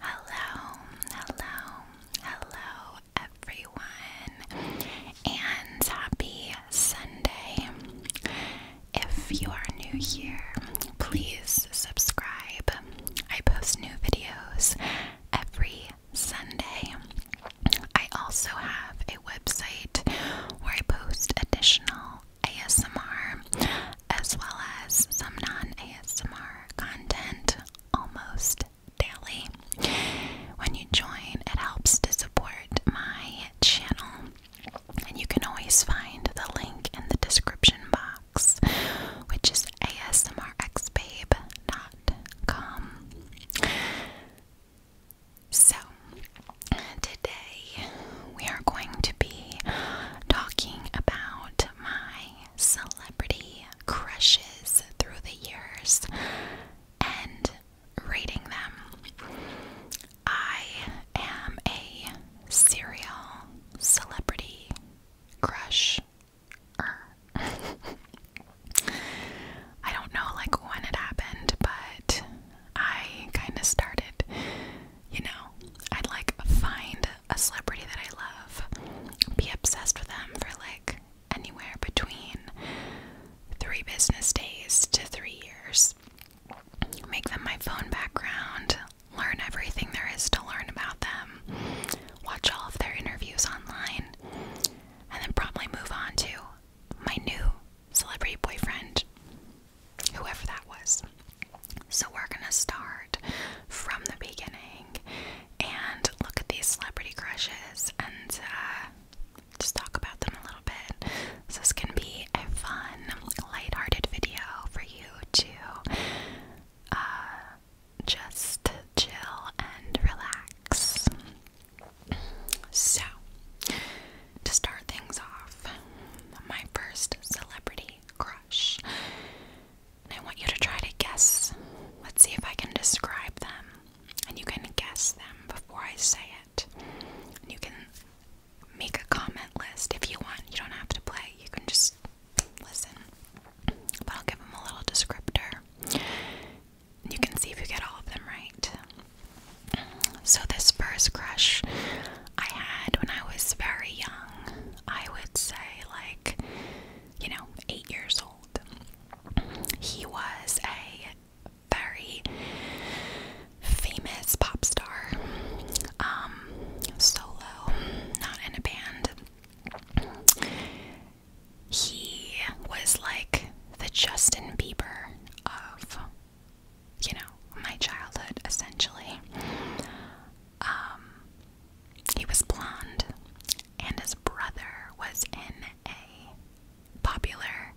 Hello, hello, hello, everyone, and happy Sunday. If you are new here, please subscribe. I post new videos every Sunday. I also have a website where I post additional ASMR as well as some non ASMR content almost daily. When you join, it helps to support my channel, and you can always find the link in the description box, which is asmrxbabe.com. So, today we are going to be talking about my my celebrity crushes through the years and rating them. I am a serial celebrity crush. I don't know like when it happened, but I kind of started, you know, I'd like find a celebrity that I love, be obsessed with them for like anywhere between three business days to three years. Make them my phone background, learn everything there is to learn about them, watch all of their interviews online, and then probably move on to my new celebrity boyfriend, whoever that was. So we're gonna start from the beginning and look at these celebrity crushes and uh, just talk about them a little bit. So gonna be a fun, lighthearted video for you to uh, just chill and relax. So, to start things off, my first celebrity crush I want you to try to guess. Let's see if I can describe them. And you can guess them before I say it. And you can make a comment list if you want. You don't have to play, you can just listen. But I'll give them a little descriptor. you can see if you get all of them right. So, this first crush I had when I was very young. I would say, like, you know, eight years old. He was a very famous pop star, um, solo, not in a band. He was like the Justin Bieber of, you know, my childhood, essentially. Um, he was blonde, and his brother was in a popular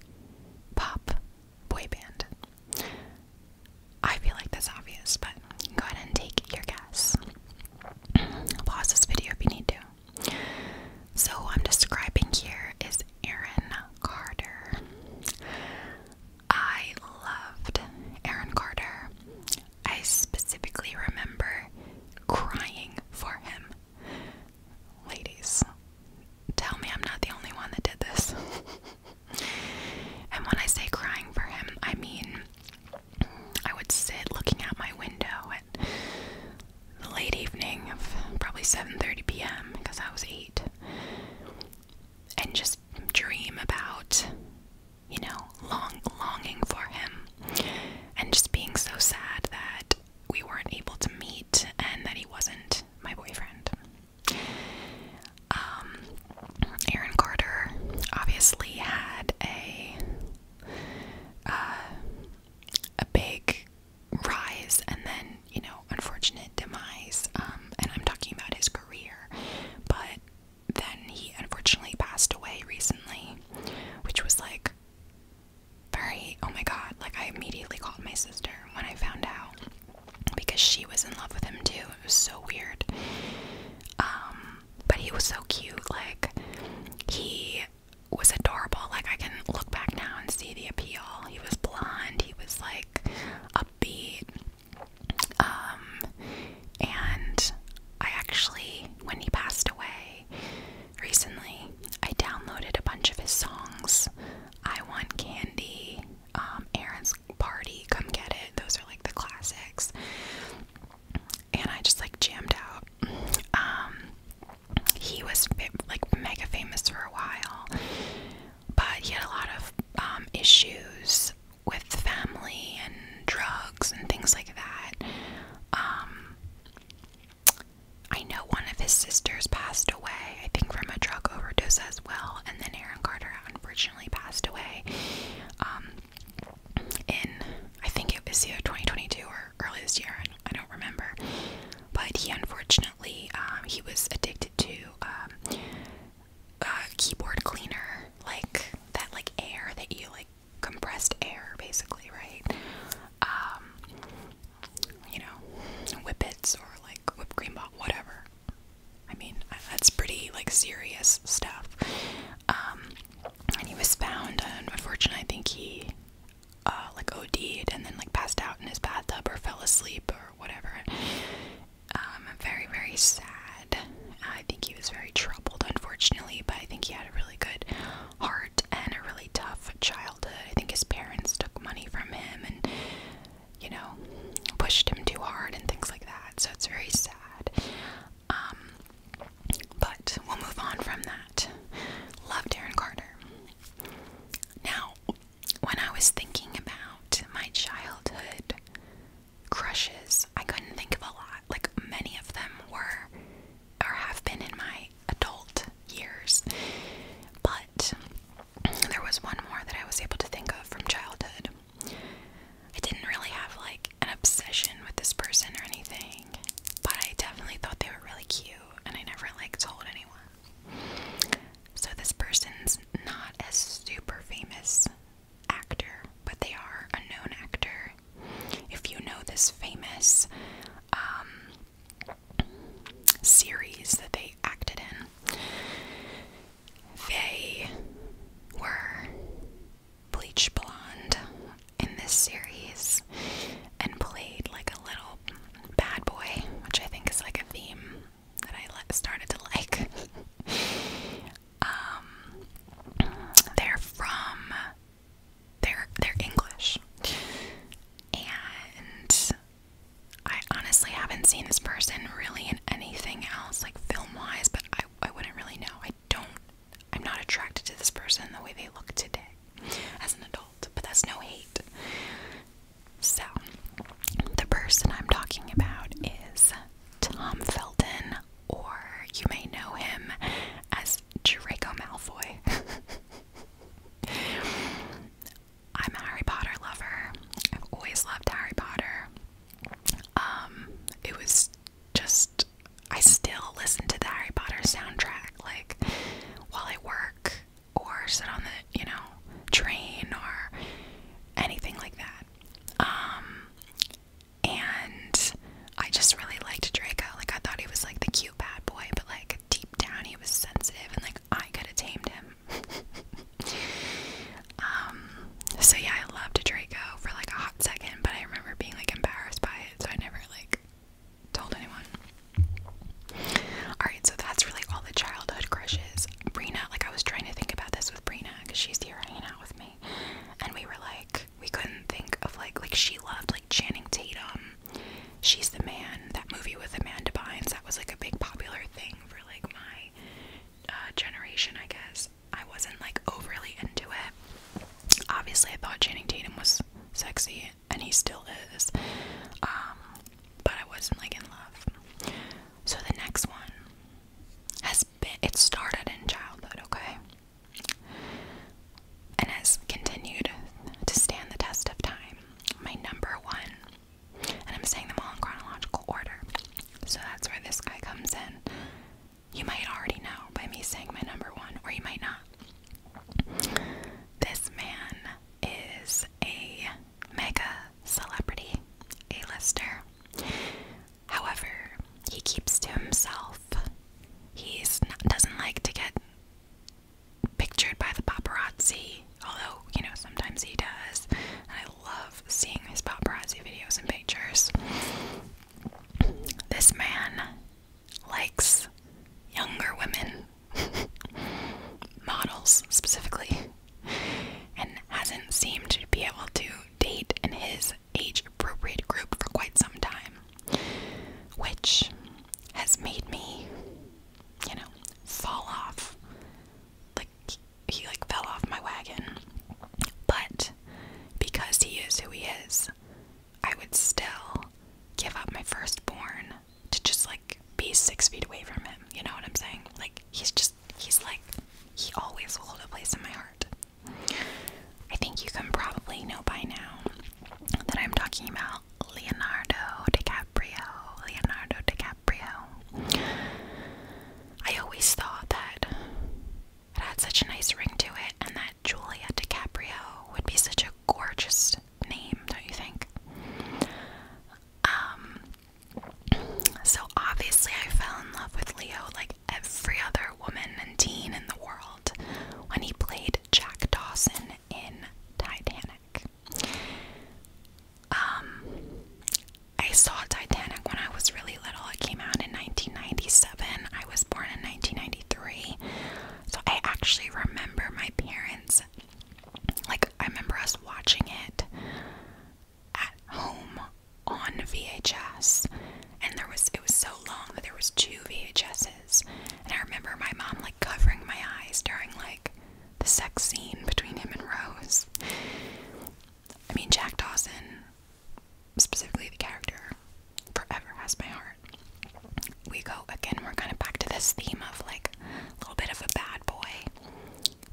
pop boy band. I feel like that's obvious, but go ahead and take your guess. Pause this video if you need to. So, who I'm describing here is Aaron Carter. I loved Aaron Carter. I specifically remember crying for him. Ladies, tell me I'm not the only one that did this. and when I say crying for him, I mean I would sit looking out my window at the late evening of probably 7:30 p.m. because I was 8 and just dream about, you know, long longing for him and just being so sad that we weren't able to meet and that he wasn't my boyfriend. Um, Aaron Carter obviously had a uh, a big rise and then you know unfortunate demise. Um, and I'm talking about his career, but then he unfortunately passed away recently, which was like very oh my god, like I immediately called my sister when I found out because she was in love with him too. It was so weird. Um, but he was so cute, like he was adorable. Like I can look back now and see the appeal. He was blonde, he was like upbeat. Um, and I actually, when he passed away recently, I downloaded a bunch of his songs. I Want Candy, um, Aaron's Party, Come Get It. Those are like the classics. And I just like jammed out. Um, he was like mega famous for a while, but he had a lot of um, issues with family and drugs and things like that. Um, I know one of his sisters passed away, I think from a drug overdose as well, and then Aaron Carter unfortunately passed away um, in, I think it was either 2022 or early this year, I don't remember. But he unfortunately, um, he was addicted to uh, keyboard cleaner, like that, like air that you like compressed air, basically, right? Um, you know, whippets or like whipped cream pop, whatever. I mean, that's pretty like serious stuff. Um, and he was found, and unfortunately, I think he uh, like OD'd and then like passed out in his bathtub or fell asleep or whatever um, very, very sad. I think he was very troubled, unfortunately, but I think he had a really good heart and a really tough childhood. I think his parents took money from him and, you know, pushed him too hard and things like that. So it's very sad. Um, but we'll move on from that. Love Darren Carter. Now, when I was thinking about my childhood, crushes, I couldn't think of a lot. Like, many of them were or have been in my adult years. But there was one more that I was able to think of from childhood. I didn't really have like an obsession with this person or anything, but I definitely thought they were really cute and I never like told anyone. So this person's not as super famous actor, but they are a known actor. If you know this famous um, series that they acted in, they were bleach blonde in this series and played like a little bad boy, which I think is like a theme that I started to like. Um, they're from they're they're English, and I honestly haven't seen this person really in anything else like film wise, but I I wouldn't really know. I don't. I'm not attracted to this person the way they look today as an adult, but that's no hate. So, the person I'm talking about is Tom Felton or you may know him as Draco Malfoy. I'm a Harry Potter lover. I've always loved Harry Potter. Um, it was just I still listen to the Harry Potter soundtrack like while I work or sit on the, you know, train or anything like that. Um and I just really liked Draco. Like I thought he was like the cute bad boy, but like deep down he was sensitive and like I could have tamed him. um so yeah, I loved Draco for like a hot second, but I remember being like embarrassed by it, so I never like told anyone. Alright, so that's really all the childhood crushes. Brina, like I was trying to think about this with Brina because she's here hanging out with me and we were like we couldn't think of like like she loved like Channing Tatum. She's the man. That movie with Amanda Bynes that was like a big popular thing for like my uh, generation, I guess. I wasn't like overly into it. Obviously, I thought Channing Tatum was sexy, and he still is. Um, but I wasn't like in love. So the next one has it started in childhood, okay? And has continued to stand the test of time. My number one, and I'm saying them all in chronological order, so that's where this guy comes in. You might already know by me saying my number one, or you might not. This man is a mega celebrity, a lister. However, he keeps to himself. He doesn't like to get pictured by the paparazzi, although, you know, sometimes he does. And I love seeing his paparazzi videos and pictures. This man likes younger women, models specifically, and hasn't seemed to be able to date in his age appropriate group for quite some time, which has made me, you know, fall off. Like, he like fell off my wagon. But because he is who he is, I would still give up my firstborn to just like be six feet away from him. You know what I'm saying? Like, he's just, he's like, he always will hold a place in my heart. I think you can probably know by now that I'm talking about Leonardo DiCaprio. Leonardo DiCaprio. I always thought that it had such a nice ring to it and that Julia DiCaprio would be such a gorgeous name, don't you think? Um, so obviously, I fell in love with Leo like every other woman and teen in the world when he played Jack Dawson in Titanic. Um, I saw Titanic when I was really little. It came out in 1997. I was born in 1993. So I actually remember my parents, like, I remember us watching it at home on VHS, and there was it was so long that there was two VHSs, and I remember my mom like covering my eyes during like the sex scene between him and Rose. I mean, Jack Dawson, specifically the character, forever has my heart. We go again. We're kind of back to this theme of like a little bit of a bad boy,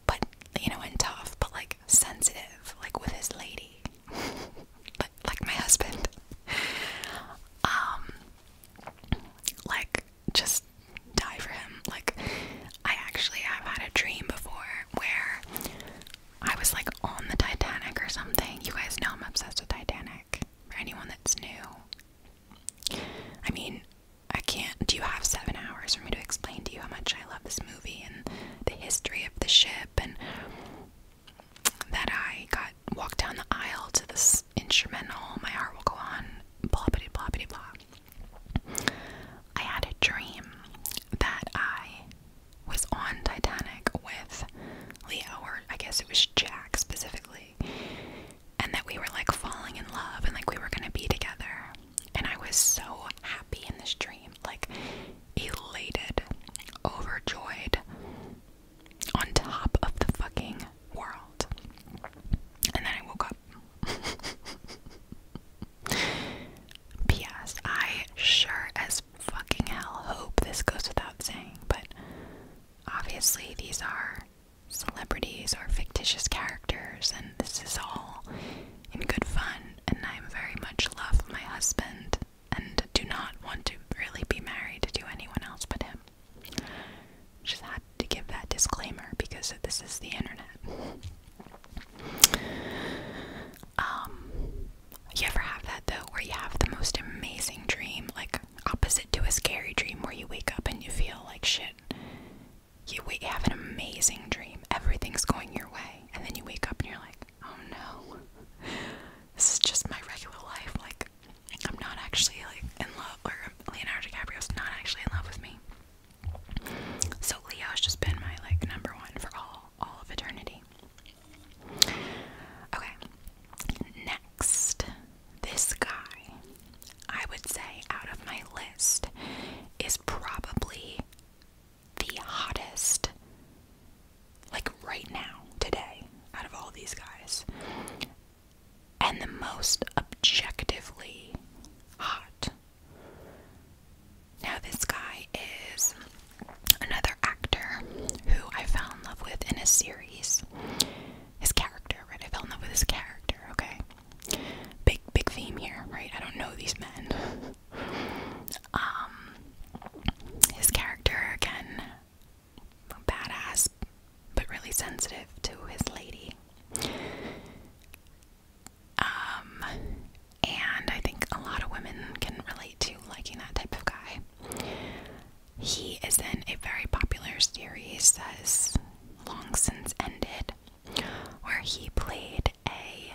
but you know, and tough, but like sensitive, like with his lady, like, like my husband. Um, like just die for him. Like I actually have had a dream before where I was like on the Titanic or something. You guys know I'm obsessed with Titanic. For anyone that's new, I mean, I can't. Do you have seven hours for me to explain to you how much I love this movie? and the history of the ship, and that I got walked down the aisle to this instrumental, My Heart Will Go On, blah, blah, blah, blah, blah. I had a dream that I was on Titanic with Leo, or I guess it was Jack specifically, and that we were like falling in love and like we were gonna be together. And I was so happy in this dream, like elated, overjoyed, on top of the fucking world. And then I woke up. P.S. I sure as fucking hell hope this goes without saying, but obviously these are celebrities or fictitious characters, and this is all in good fun, and I am very much in love with my husband and do not want to really be married to anyone else but him. Just had to give that disclaimer because this is the internet. Um, you ever have that though, where you have the most amazing dream, like opposite to a scary dream, where you wake up and you feel like shit? you have an amazing dream, everything's going your way and then you wake up and you're like, oh no, this is just my regular life. Like, I'm not actually like in love, or Leonardo DiCaprio's not actually in love with me. So Leo has just been my like number one for all all of eternity. Okay, next, this guy, I would say out of my list, is probably the hottest, like right now, today, out of all these guys, and the most objectively hot. Now, this guy is another actor who I fell in love with in a series. His character, right? I fell in love with his character, okay? Big, big theme here, right? I don't know these men. Um, his character again, badass, but really sensitive to his lady. Um, and I think a lot of women can relate to liking that type of guy. He is in a very popular series that is long since ended, where he played a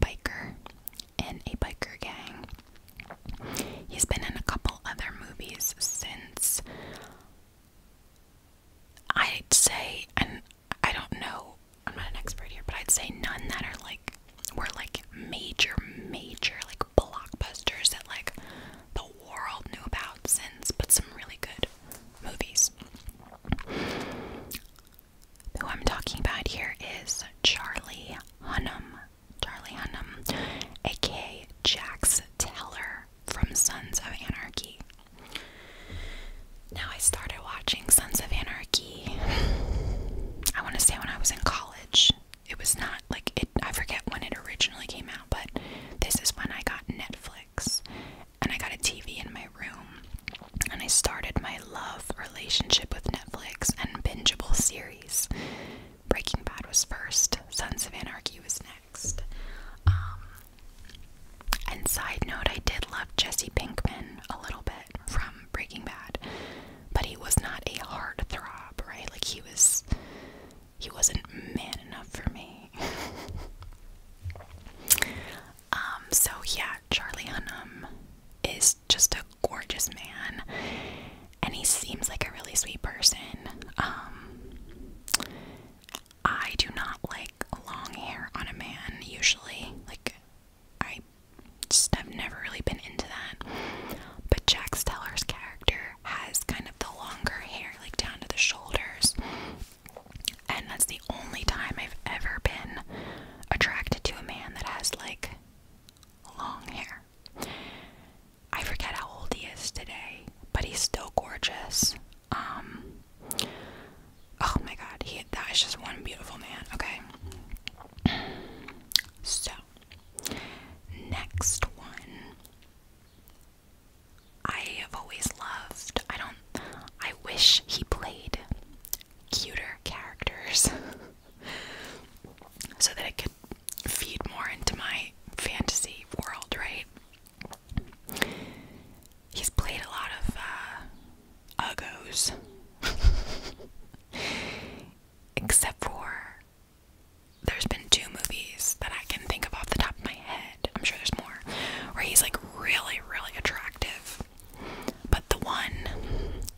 biker in a biker gang. He's been in a couple other movies since. I'd say, and I don't know, I'm not an expert here, but I'd say none that are like were like major, major like blockbusters that like the world knew about since, but some really good movies who I'm talking about here is Charlie Hunnam. Charlie Hunnam, aka Jax Teller from Sons of Anarchy. Now, I started watching Sons of Anarchy, I want to say when I was in college. It was not like it, I forget when it originally came out, but this is when I got Netflix and I got a TV in my room, and I started my love relationship with Netflix and bingeable series. Breaking Bad was first, Sons of Anarchy was next. Um, and side note, I did love Jesse Pinkman a little bit from Breaking Bad, but he was not a hard throb, right? Like he was, he wasn't man enough for me. Um, so yeah, Charlie Hunnam is just a gorgeous man and he seems like a really sweet person. Um, I do not like long hair on a man usually. Like I just have never really been into that. But Jack Stellar's character has kind of the longer hair like down to the shoulders. And that's the only time I've ever been attracted to a man that has like long hair. I forget how old he is today, but he's still gorgeous. Um Oh my god, he that is just one beautiful man, okay? So, next one. I have always loved. I don't I wish he played cuter characters so that I could feed more into my fantasy world, right? He's played a lot of uh, Uggos, except for there's been two movies that I can think of off the top of my head. I'm sure there's more where he's like really, really attractive, but the one,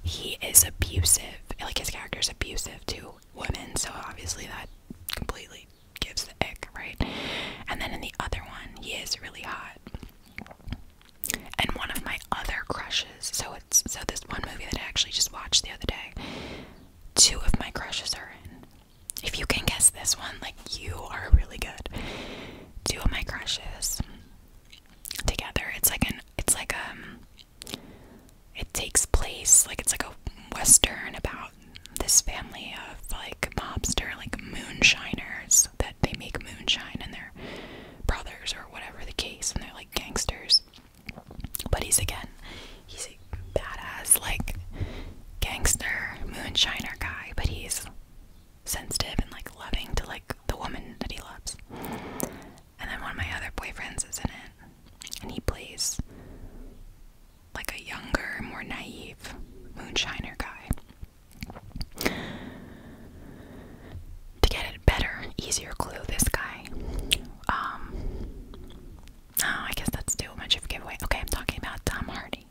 he is abusive. Like his character is abusive to women, so obviously that completely gives the ick, right? And then in the other one, he is really hot. And one of my other crushes, so it's so this one movie that I actually just watched the other day. Two of my crushes are in. If you can guess this one, like you are really good. Two of my crushes together. It's like an it's like um it takes place like it's like a western about this family of like mobster like moonshiners that they make moonshine and their brothers or whatever the case and they're like gangsters. But he's again he's a badass like gangster moonshiner guy, but he's sensitive and like loving to like the woman that he loves. And then one of my other boyfriends is in it, and he plays like a younger, more naive moonshiner guy. To get a better, easier clue, this guy. Um, oh, I guess that's too much of a giveaway. Okay, I'm talking about Tom Hardy.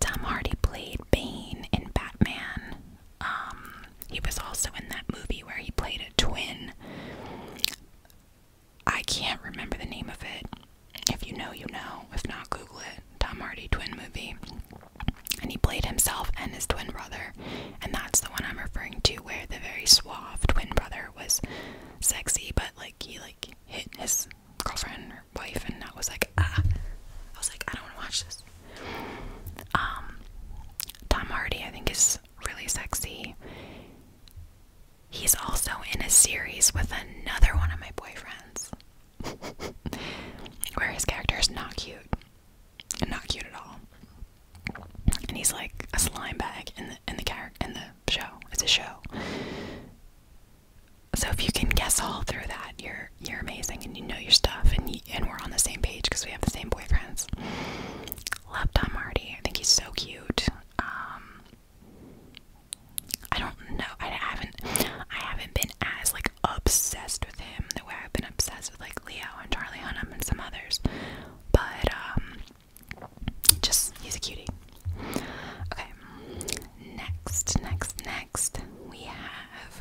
Tom Hardy played Bane in Batman. Um, he was also in that movie where he played a twin. I can't remember the name of it. If you know, you know. If not, Google it. Tom Hardy twin movie. And he played himself and his twin brother. And that's the one I'm referring to where the very suave twin brother was sexy, but like he like hit his girlfriend wife, and I was like, ah. I was like, I don't want to watch this. Um, Tom Hardy, I think, is really sexy. He's also in a series with another one of my boyfriends, where his character is not cute, and not cute at all. And he's like a slime bag in the in the character in the show. It's a show so if you can guess all through that, you're you're amazing and you know your stuff and and we're on the same page because we have the same boyfriends. Love Tom Hardy. I think he's so cute. Um, I don't know. I haven't I haven't been as like obsessed with him the way I've been obsessed with like Leo and Charlie Hunnam and some others. But um, just he's a cutie. Okay, next, next, next next we have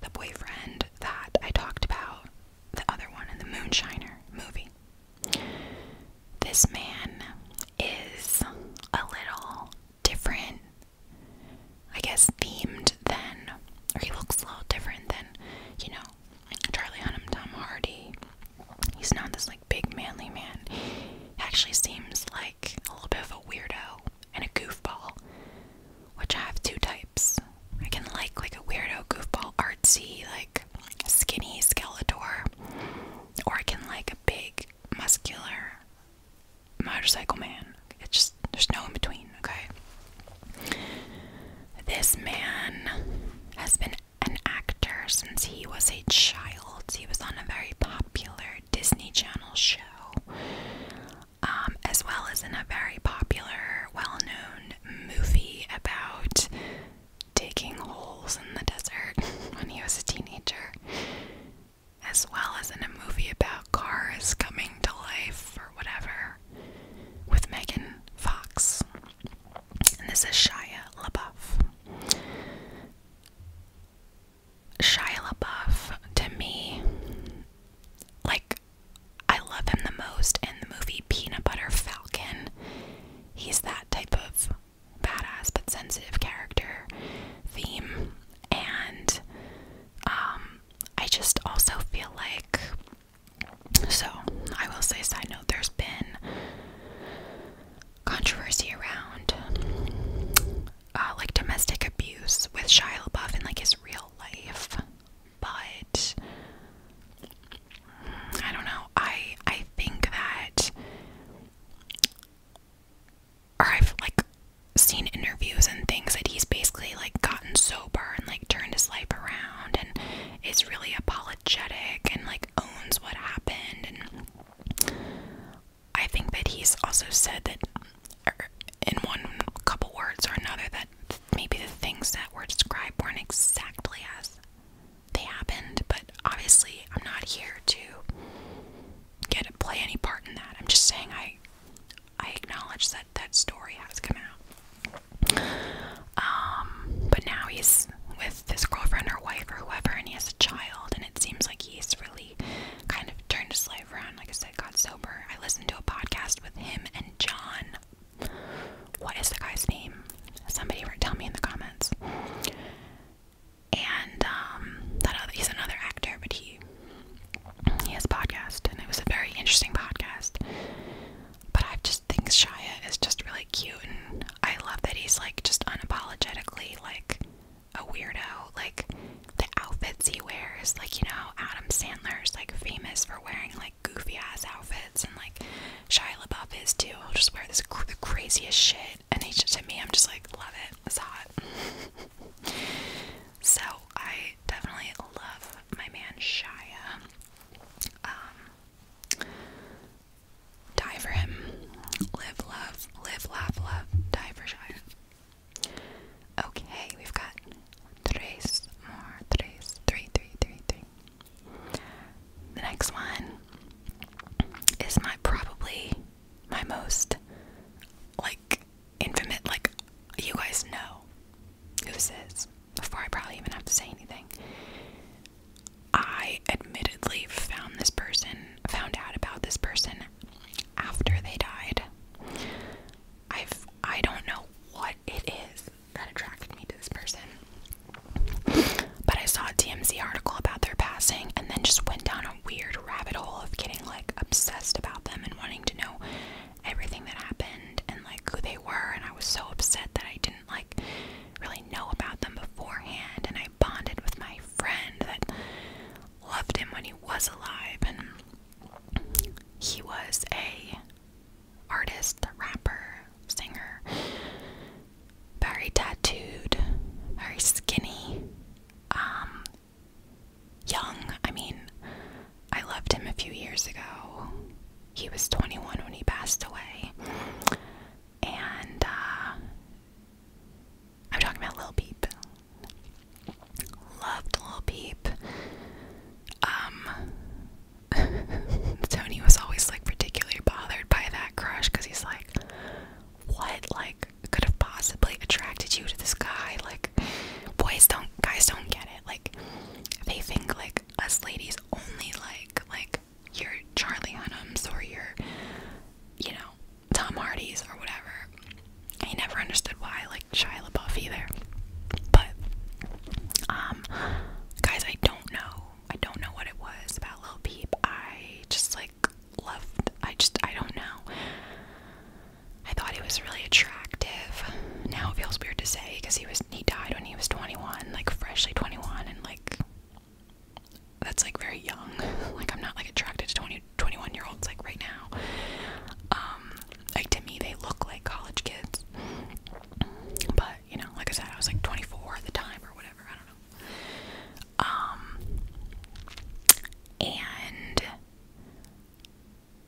the boyfriend that I talked about, the other one in the Moonshiner movie. This man is a little different, I guess, themed than, or he looks a little different than, you know, Charlie Hunnam, Tom Hardy. He's not this like big manly man. He actually seems like a little bit of a weirdo and a goofball, which I have two types. I can like like a weirdo goofball artsy like skinny skeleton, or I can like a big muscular motorcycle man. It's just there's no in between. Okay, this man has been an actor since he was a child. He was on a very popular Disney Channel show, um, as well as in a very popular, well known movie about digging holes in the desert when he was a teenager, as well as in a movie about cars coming to life or whatever with Megan Fox. And this is Shia LaBeouf. Shia LaBeouf to me, like I love him the most in the movie Peanut Butter Falcon. He's that type of badass but sensitive character theme, and um, I just also feel like. So I will say, side note, there's been controversy around uh, like domestic abuse with Shia LaBeouf in like his real life, but I don't know. I I think that, or I've like seen interviews and things that he's basically like gotten sober and like turned his life around and is really apologetic and like owns what happened and I think that he's also said that er, in one couple words or another that maybe the things that were described weren't exactly as they happened, but obviously I'm not here to get play any part in that. I'm just saying I I acknowledge that that story has come out. Um, but now he's with his girlfriend or wife or whoever, and he has a child, and it seems like he's really kind of turned his life around. Like I said, got sober. I listened to a podcast with him and John. What is the guy's name? Somebody tell me in the comments. And um, that he's another actor, but he he has a podcast, and it was a very interesting podcast. But I just think Shia is just really cute, and I love that he's like just unapologetically like a weirdo. Like the outfits he wears, like you know, Adam Sandler is like famous for wearing like goofy ass outfits, and like Shia LaBeouf is too. He'll just wear this the craziest shit, and he's to me, I'm just like love it. It's hot. so I definitely love my man Shia. Um, die for him. Live, love, live, laugh, love, die for sure. Okay, we've got tres more, tres, three, three, three, three. The next one is my probably my most like infamous, like you guys know who this is before I probably even have to say anything. I admittedly found this person found out about this person after they died. I've I don't know what it is that attracted me to this person. But I saw a TMZ article about their passing and then just went down a weird rabbit hole of getting like obsessed about them and wanting to know everything that happened and like who they were and I was so upset that I didn't like really know about them beforehand and I bonded with my friend that loved him when he was alive and he was a artist, rapper, singer, very tattooed, very skinny, um young. I mean, I loved him a few years ago. He was 21 when he passed away. And uh, I'm talking about Little Peep. Loved Lil Peep. Um, Tony was always like particularly bothered by that crush because he's like, what like could have possibly attracted you to this guy? Like, boys don't, guys don't get it. Like, they think like us ladies only like like you're Charlie Hunnams or are you know, Tom Hardy's or whatever. I never understood why like liked Shia LaBeouf either. But um guys I don't know. I don't know what it was about Lil Peep. I just like loved I just I don't know. I thought he was really attractive. Now it feels weird to say because he was he died when he was 21, like freshly 21 and like that's like very young. Like I'm not like attracted to 20 21 year olds like right now. Um like to me they look like college kids. But, you know, like I said, I was like 24 at the time or whatever, I don't know. Um and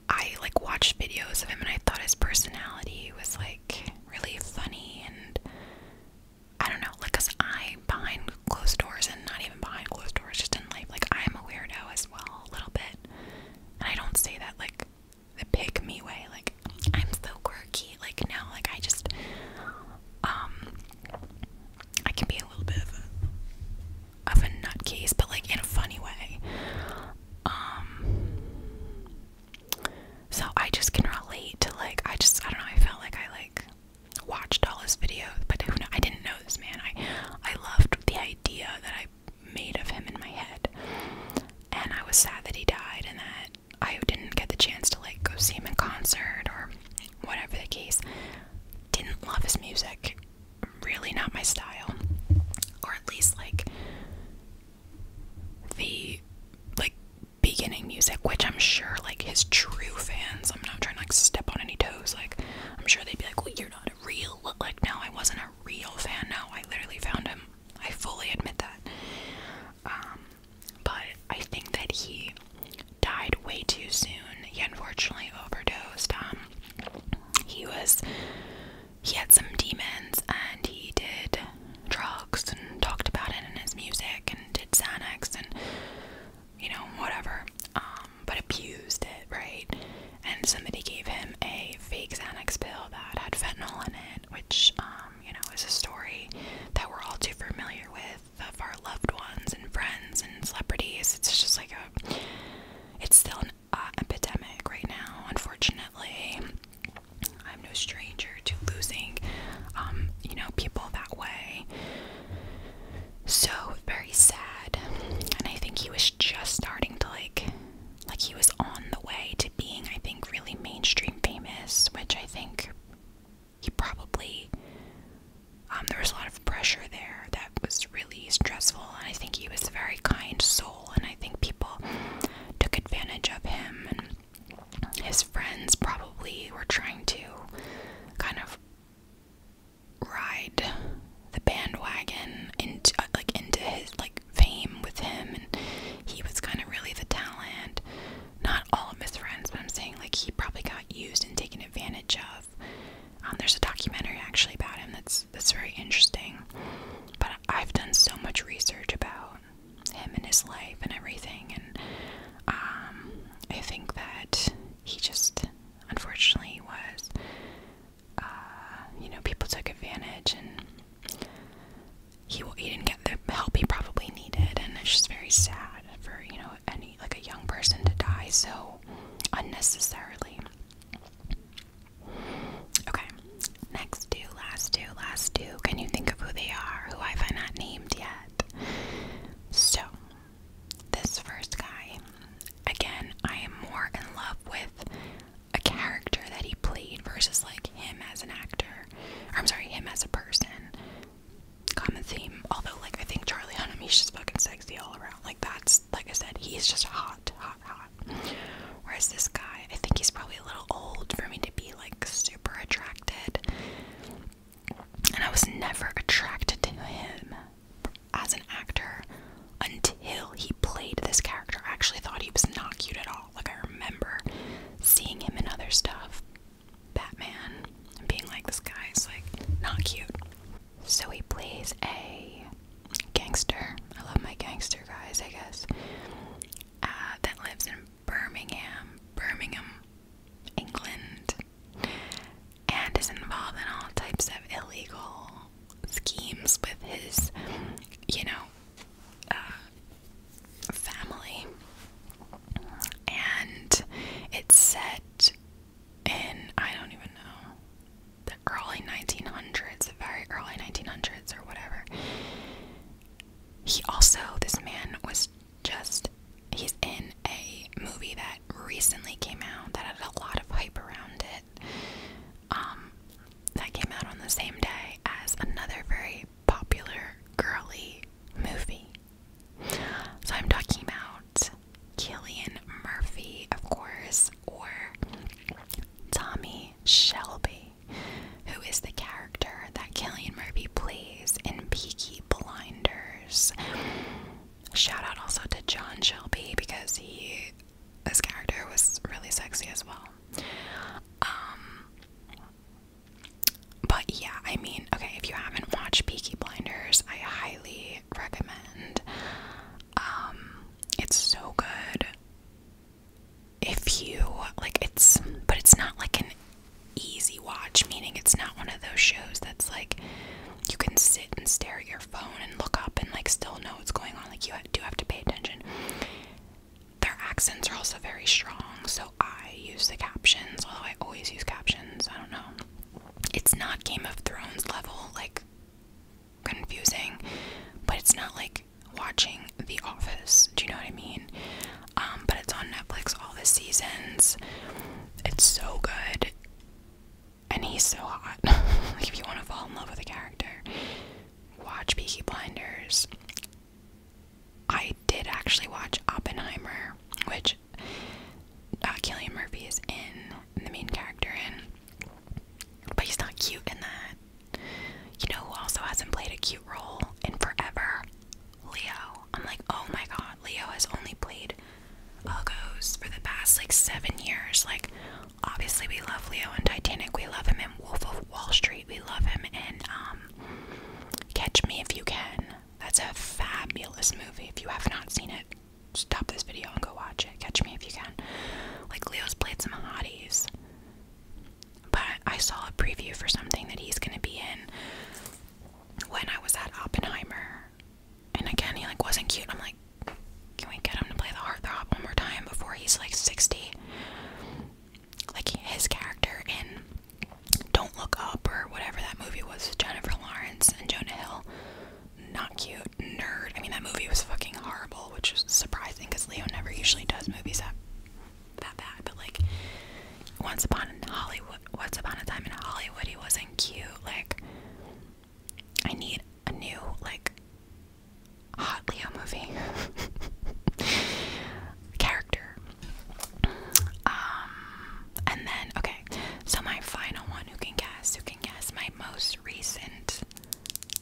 I like watched videos of him and I thought his personality was like really funny and I don't know, like, cause behind closed doors and not even behind closed doors, just in life. Like, I'm a weirdo as well, a little bit. And I don't say that, like, the pick me way. Like, I'm so quirky. Like, now, like, I just, um, I can be a little bit of a, of a nutcase, but, like, in a funny way. Um, so I just can relate to, like, I just, I don't know, I felt like I, like, watched all his videos, but I didn't know this man. I I loved the idea that I made of him in my head, and I was sad that he died, and that I didn't get the chance to like go see him in concert or whatever the case. Didn't love his music, really not my style, or at least like the like beginning music, which I'm sure like his true fans I'm not trying to like step on any toes. Like, I'm sure they'd be like, well, you're not a real, like, now I wasn't a real fan. No, I literally found him. I fully admit that. Um, but I think that he died way too soon. He unfortunately overdosed. Um, he was, he had some demons and he did drugs and talked about it in his music and did Xanax and you know, whatever, um, but abused it, right? And somebody gave him a fake Xanax pill that had fentanyl in it, which, um, you know, is a story that we're all too familiar with of our loved ones and friends and celebrities. It's just like a, it's still an uh, epidemic right now, unfortunately. I'm no stranger to losing, um, you know, people that way so very sad. And I think he was just starting to like like he was on the way to being I think really mainstream famous, which I think he probably um, there was a lot of pressure there that was really stressful and I think he was a very kind soul and I think people took advantage of him and his friends probably were trying to kind of ride the bandwagon into uh, like into his like fame with him and he was kind of really the talent not all of his friends but i'm saying like he probably got used and taken advantage of um, there's a documentary actually about him that's that's very interesting but i've done so much research about him and his life and everything and um, i think that he just unfortunately was uh, you know people took advantage and he he didn't get the help he probably needed and it's just very sad for you know any like a young person to die so unnecessarily okay next two last two last two can you think of who they are who I've not named yet so this first guy, again, I am more in love with a character that he played versus like him as an actor. I'm sorry, him as a person. Common theme. Although, like, I think Charlie Hunnam, he's just fucking sexy all around. Like, that's, like I said, he's just hot, hot, hot. Whereas this guy, I think he's probably a little old for me to be like super attracted and I was never attracted to him as an actor until he played this character. I actually thought he was not cute at all. Like, I remember seeing him in other stuff, Batman, being like, this guy is like not cute. So he plays a gangster. I love my gangster guys, I guess. Uh, that lives in Birmingham, Birmingham, England and is involved in all types of illegal schemes with his, you know, uh, family. And it's set in, I don't even know, the early 1900s, the very early 1900s or whatever. He also, this man was just he's in a movie that recently came out that had a lot of hype around it. Um, that came out on the same day as another very popular girly movie. So I'm talking about Killian Murphy, of course, or Tommy Shelby, who is the character that Killian Murphy plays in Peaky Blinder. Shout out also to John Shelby because he, this character was really sexy as well. Um, but yeah, I mean, okay, if you haven't watched Peaky Blinders, I highly recommend. Um, it's so good. If you like, it's but it's not like an easy watch, meaning it's not one of those shows that's like you can sit and stare at your phone and look up and like still know what's going on. Like you do have to pay attention. Their accents are also very strong, so I use the captions, although I always use captions. I don't know. It's not Game of Thrones level, like confusing, but it's not like watching The Office. Do you know what I mean? Um, but it's on Netflix all the seasons. It's so good. And he's so hot. like if you want to fall in love with a character, watch Peaky Blinders. I did actually watch Oppenheimer, which uh, Killian Murphy is in, the main character in. But he's not cute in that. You know who also hasn't played a cute role in forever? Leo. I'm like, oh my god. Leo has only played Uggos for the past like seven years. Like, obviously, we love Leo in Titanic. We love him in Wolf of Wall Street. We love him in um, Catch Me If You Can. That's a fabulous movie. If you have not seen it, stop this video and go watch it. Catch Me If You Can. Like, Leo's played some hotties. But I saw a preview for something that he's going to be in when I was at Oppenheimer, and again he like wasn't cute. I'm like, can we get him to play the heartthrob one more time before he's like 60? Like his character in Don't Look Up or whatever that movie was, Jennifer Lawrence and Jonah Hill. Not cute, nerd. I mean that movie was fucking horrible, which is surprising because Leo never usually does movies that that bad. But like once upon in Hollywood, once upon a time in Hollywood, he wasn't cute. Like, I need a new like hot Leo movie character. Um, and then okay, so my final one. Who can guess? Who can guess? My most recent,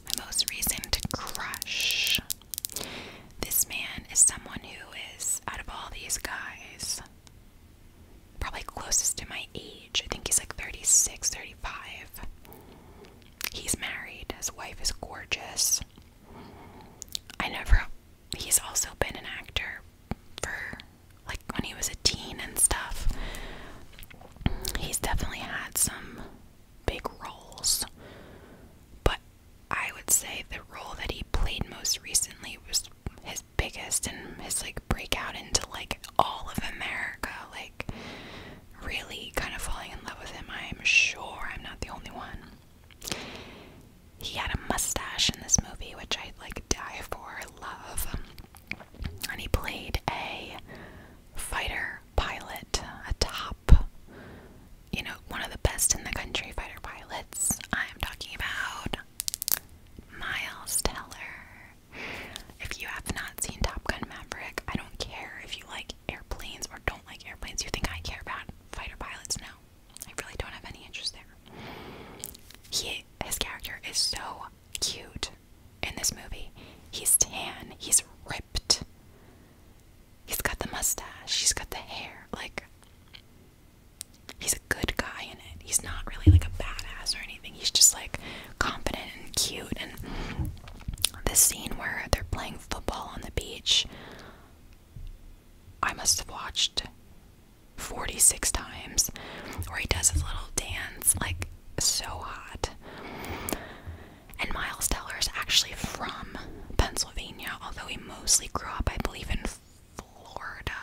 my most recent crush. This man is someone who is out of all these guys probably closest to my age. I think he's like 36, 35. He's married. His wife is gorgeous. I never. He's also been an actor for like when he was a teen and stuff. He's definitely had some big roles. But I would say the role that he played most recently was his biggest and his like break out into like all of America, like really kind of falling in love with him. I'm sure I'm not the only one. He had a mustache in this movie, which I like die for, love. And he played a fighter pilot, a top, you know, one of the best in the country fighter pilots. I'm talking about Miles Teller. If you have not seen Top Gun Maverick, I don't care if you like airplanes or don't like airplanes. You think I care about fighter pilots? No. I really don't have any interest there. He his character is so cute in this movie. He's tan, he's ripped. He's got the mustache, he's got the hair, like he's a good guy in it. He's not really like a badass or anything. He's just like confident and cute. And the scene where they're playing football on the beach, I must have watched 46 times, where he does his little dance, like so hot. And Miles Teller is actually from Pennsylvania, although he mostly grew up, I believe, in Florida.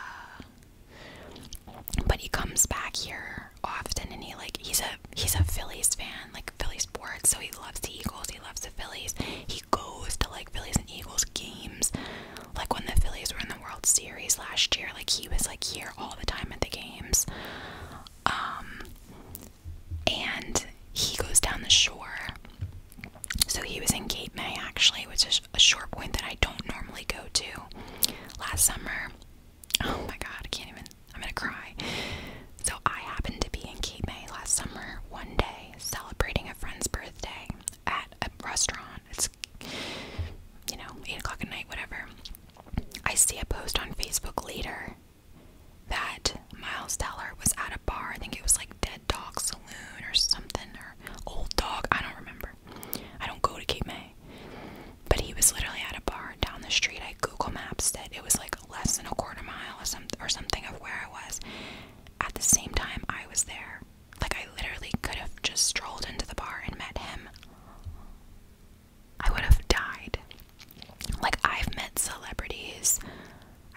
But he comes back here often and he like he's a he's a Phillies fan, like Phillies sports, so he loves the Eagles, he loves the Phillies. He goes to like Phillies and Eagles games. Like when the Phillies were in the World Series last year, like he was like here all the time at the games. Um and he goes down the shore so he was in Cape May actually, which is a shore point that I don't normally go to. Last summer, oh my god, I can't even, I'm gonna cry. So I happened to be in Cape May last summer one day celebrating a friend's birthday at a restaurant. It's, you know, 8 o'clock at night, whatever. I see a post on Facebook later that Miles Teller was at a bar, I think it was like Dead Dog Saloon or something, old dog. I don't remember. I don't go to Cape May. But he was literally at a bar down the street. I Google Maps that it was like less than a quarter mile or, some, or something of where I was. At the same time, I was there. Like, I literally could have just strolled into the bar and met him. I would have died. Like, I've met celebrities.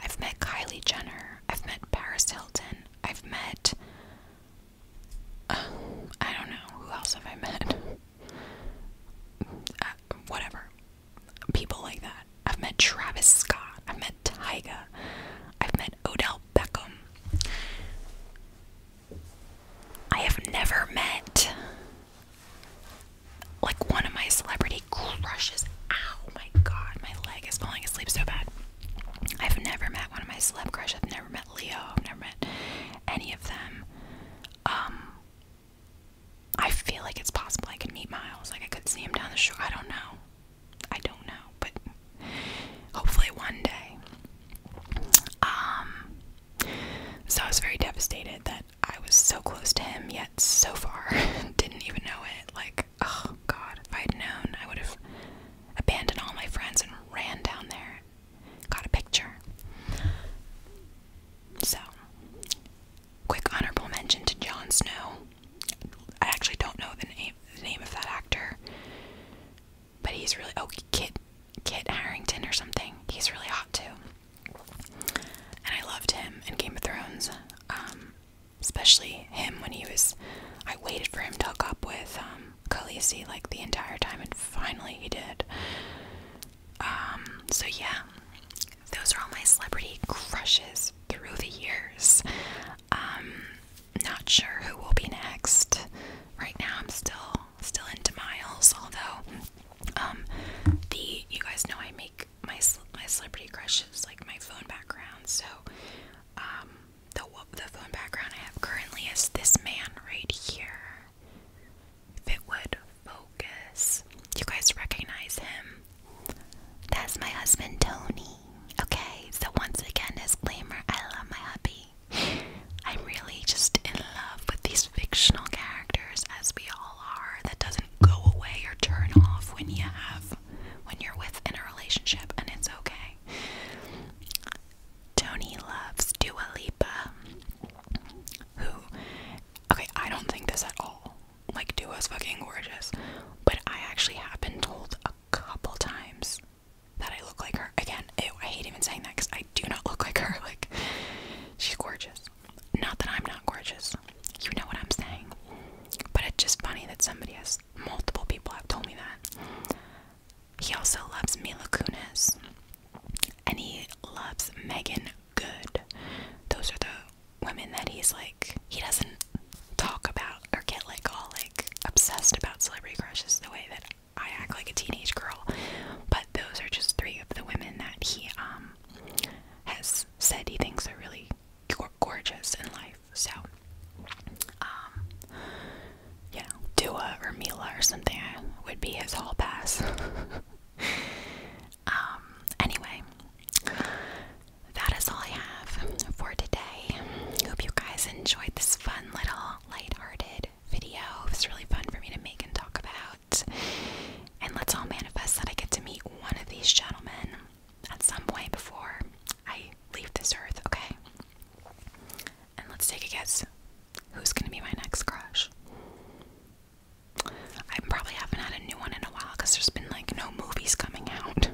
I've met Kylie Jenner. I've met Paris Hilton. I've met. I don't know. Who else have I met? Uh, whatever. People like that. I've met Travis Scott. I've met Tyga. I've met Odell Beckham. I have never met like one of my celebrity crushes. Ow, my god, my leg is falling asleep so bad. I've never met one of my celeb crush. I've never met Leo. I've never met any of them. Um, I feel like it's possible I could meet Miles. Like I could see him down the shore. I don't know. I don't know, but hopefully one day. Um, so I was very devastated that I was so close to him yet so far didn't even know it. Like oh god, if I had known, I would have abandoned all my friends and ran down there, got a picture. So, quick honorable mention to Jon Snow. I actually don't know the name the name of that actor, but he's really oh Kit Kit Harrington or something. He's really hot too, and I loved him in Game of Thrones. Um, especially him when he was. I waited for him to hook up with um, Khaleesi like the entire time, and finally he did. Um, so yeah, those are all my celebrity crushes through the years. Um, not sure who will be next. Right now, I'm still still into Miles, although um, the you guys know I make my my celebrity crushes like my phone background, so um, the the phone background I have currently is this man right here. If it would focus, you guys recognize him. That's my husband Tony. Okay, so once again, disclaimer: I love my hubby. I'm really just in love with these fictional characters, as we all are. That doesn't go away or turn off when you have when you're within a relationship, and it's okay. Tony loves Dua Lipa, who, okay, I don't think this at all. Like, Dua's fucking gorgeous, but I actually have been told a couple times that I look like her. Again, I hate even saying that because I do not look like her. Like, she's gorgeous. Not that I'm not gorgeous. You know what I'm saying. But it's just funny that somebody has Multiple people have told me that. He also loves Mila Kunis. And he loves Megan Good. Those are the women that he's like, he doesn't talk about or get like all like obsessed about celebrity crushes the way that I act like a teenage girl. But those are just three of the women that he um, has said he thinks are really gorgeous in life. So, um, Dua or Mila or something would be his hall pass. um, anyway, that is all I have for today. Hope you guys enjoyed this fun little lighthearted video. It really fun for me to make and talk about. And let's all manifest that I get to meet one of these gentlemen at some point before I leave this earth, okay? And let's take a guess who's gonna be my next crush? I probably haven't had a new one in a while because there's been like no movies coming out.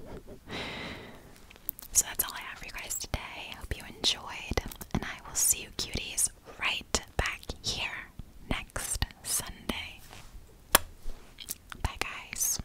so that's all I have for you guys today. Hope you enjoyed, and I will see you cuties right back here next Sunday. Bye, guys.